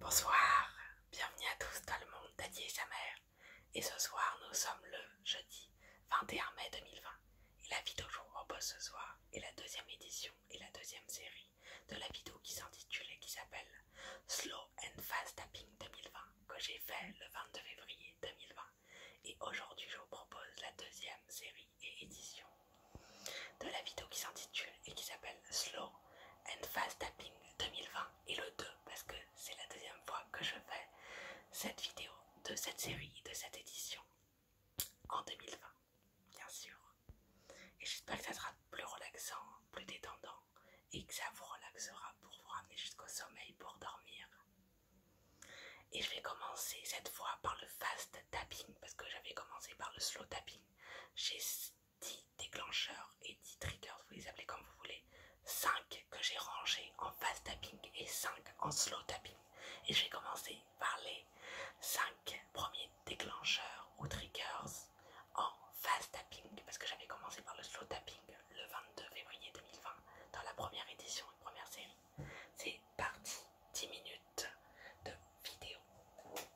Bonsoir, bienvenue à tous dans le monde Daddy et sa mère. Et ce soir, nous sommes le jeudi 21 mai 2020. Et la vidéo que je vous propose ce soir est la deuxième édition et la deuxième série de la vidéo qui s'intitule et qui s'appelle Slow and Fast Tapping 2020 que j'ai fait le 22 février 2020. Et aujourd'hui, je vous propose la deuxième série et édition de la vidéo qui s'intitule et qui s'appelle Slow and Fast Tapping 2020 et le 2 parce que c'est la deuxième fois que je fais cette vidéo de cette série, de cette édition en 2020 bien sûr et j'espère que ça sera plus relaxant, plus détendant et que ça vous relaxera pour vous ramener jusqu'au sommeil pour dormir et je vais commencer cette fois par le fast tapping parce que j'avais commencé par le slow tapping 10 déclencheurs et 10 triggers, vous les appelez comme vous voulez. 5 que j'ai rangés en fast tapping et 5 en slow tapping. Et j'ai commencé par les 5 premiers déclencheurs ou triggers en fast tapping parce que j'avais commencé par le slow tapping le 22 février 2020 dans la première édition et première série. C'est parti, 10 minutes de vidéo.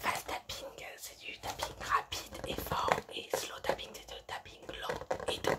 Fast tapping, c'est du tapping rapide et fort, et slow tapping, c'est du tapping lent et doux.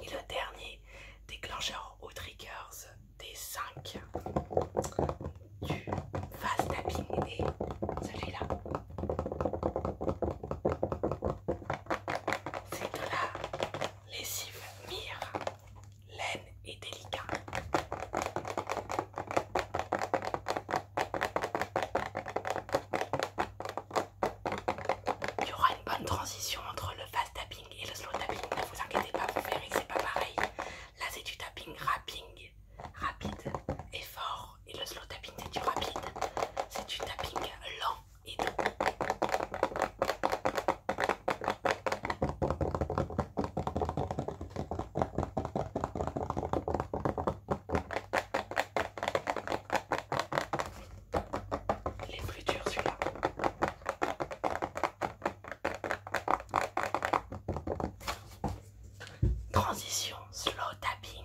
Et le dernier déclencheur au triggers des 5 du fast tapping et celui-là. C'est de la lessive mire, laine et délicat. Il y aura une bonne transition entre le fast tapping et le slow tapping. Ne vous inquiétez pas, vous verrez que c'est pas pareil. Là, c'est du tapping, rapping, rapide et fort et le slow tapping c'est du rapide, c'est du tapping lent et doux. les plus dur celui-là. Transition, slow tapping.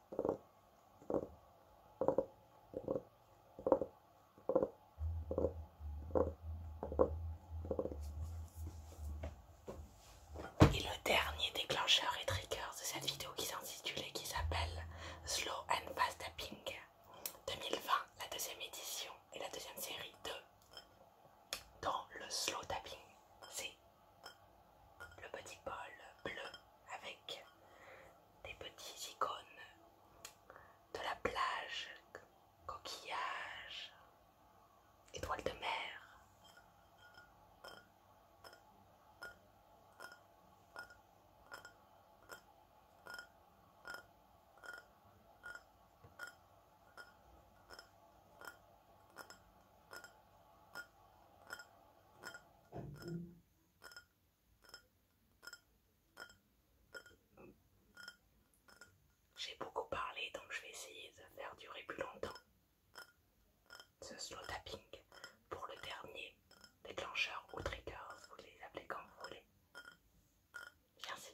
Et le dernier déclencheur et trigger de cette vidéo qui s'intitule et qui s'appelle Slow and Fast Tapping 2020, la deuxième édition et la deuxième série de dans le slow tapping. C'est le petit bol bleu avec des petites icônes de la plage, coquillages, étoiles de mer. J'ai beaucoup parlé donc je vais essayer de faire durer plus longtemps ce slow tapping pour le dernier déclencheur ou trigger, vous les appelez comme vous voulez. Merci.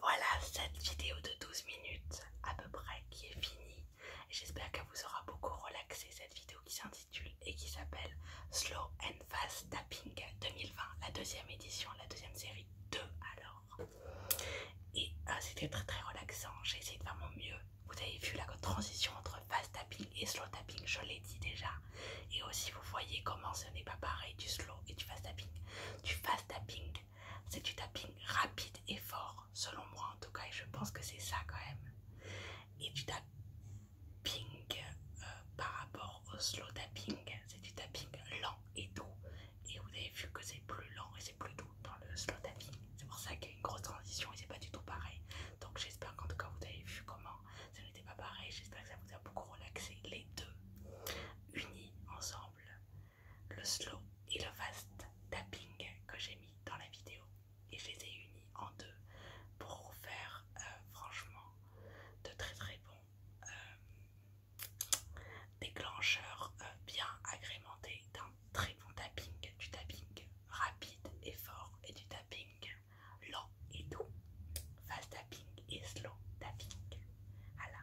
Voilà cette vidéo de 12 minutes à peu près qui est finie. J'espère qu'elle vous aura beaucoup relaxé cette vidéo qui s'intitule et qui s'appelle Slow and Fast Tapping 2020, la deuxième édition, la deuxième série 2 alors. Et ah, c'était très très relaxant, j'ai essayé de faire mon mieux. Vous avez vu la transition entre fast tapping et slow tapping, je l'ai dit déjà. Et aussi vous voyez comment ce n'est pas pareil du slow et du fast tapping. Du fast tapping, c'est du tapping rapide et fort, selon moi en tout cas, et je pense que c'est ça quand même. Et du tapping euh, par rapport au slow tapping, c'est du tapping lent et doux et vous avez vu que c'est plus lent et c'est plus doux dans le slow tapping. C'est pour ça qu'il y a une grosse transition et c'est pas du tout pareil. Donc j'espère qu'en tout cas vous avez vu comment ça n'était pas pareil. J'espère que ça vous a beaucoup relaxé les deux unis ensemble, le slow et le fast tapping que j'ai mis dans la vidéo et je les ai unis en deux pour faire euh, franchement de très très bons. Euh, Déclencheur euh, bien agrémenté d'un très bon tapping, du tapping rapide et fort et du tapping lent et doux. Fast tapping et slow tapping. Voilà.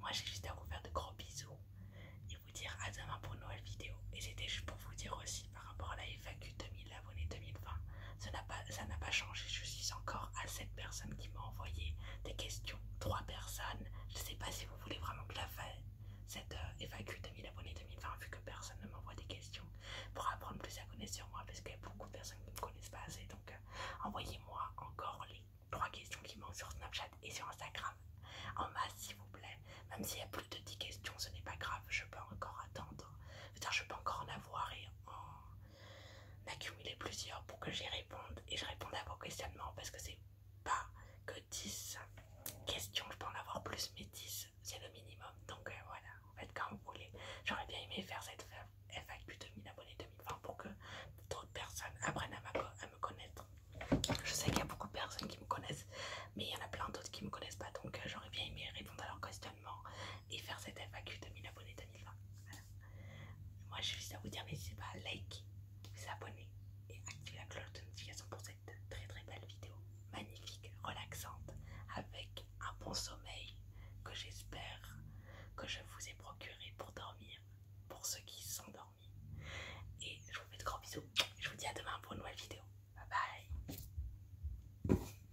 Moi j'ai juste à vous faire de gros bisous et vous dire à demain pour une nouvelle vidéo. Et c'était juste pour vous dire aussi par rapport à la FAQ 2000 abonnés 2020 ça n'a pas, changé. Je suis encore à cette personne qui m'a envoyé des questions. Trois personnes. Je ne sais pas si vous voulez vraiment que la fasse cette évacu de 2000 abonnés 2020 vu que personne ne m'envoie des questions pour apprendre plus à connaître sur moi parce qu'il y a beaucoup de personnes qui ne me connaissent pas assez donc euh, envoyez-moi encore les trois questions qui manquent sur Snapchat et sur Instagram en masse s'il vous plaît même s'il y a plus de 10 questions ce n'est pas grave je peux encore attendre je, je peux encore en avoir et en, m'accumuler plusieurs pour que j'y réponde et je réponde à vos questionnements parce que c'est pas que 10 questions, je peux en avoir plus, mais 10 c'est le minimum donc euh, voilà, en fait quand vous voulez. J'aurais bien aimé faire cette FAQ 2000 abonnés 2020 pour que d'autres personnes apprennent à, me connaître. Je sais qu'il y a beaucoup de personnes qui me connaissent, mais il y en a plein d'autres qui me connaissent pas donc euh, j'aurais bien aimé répondre à leurs questionnements et faire cette FAQ de 1000 abonnés 2020. Voilà. Moi j'ai juste à vous dire, n'hésitez pas à liker, vous abonner et activer la cloche de notification pour cette très très belle vidéo magnifique, relaxante, avec un bon sommeil que j'espère que je vous ai procuré pour dormir, pour ceux qui sont dormis. Et je vous fais de gros bisous. Je vous dis à demain pour une nouvelle vidéo. Bye bye.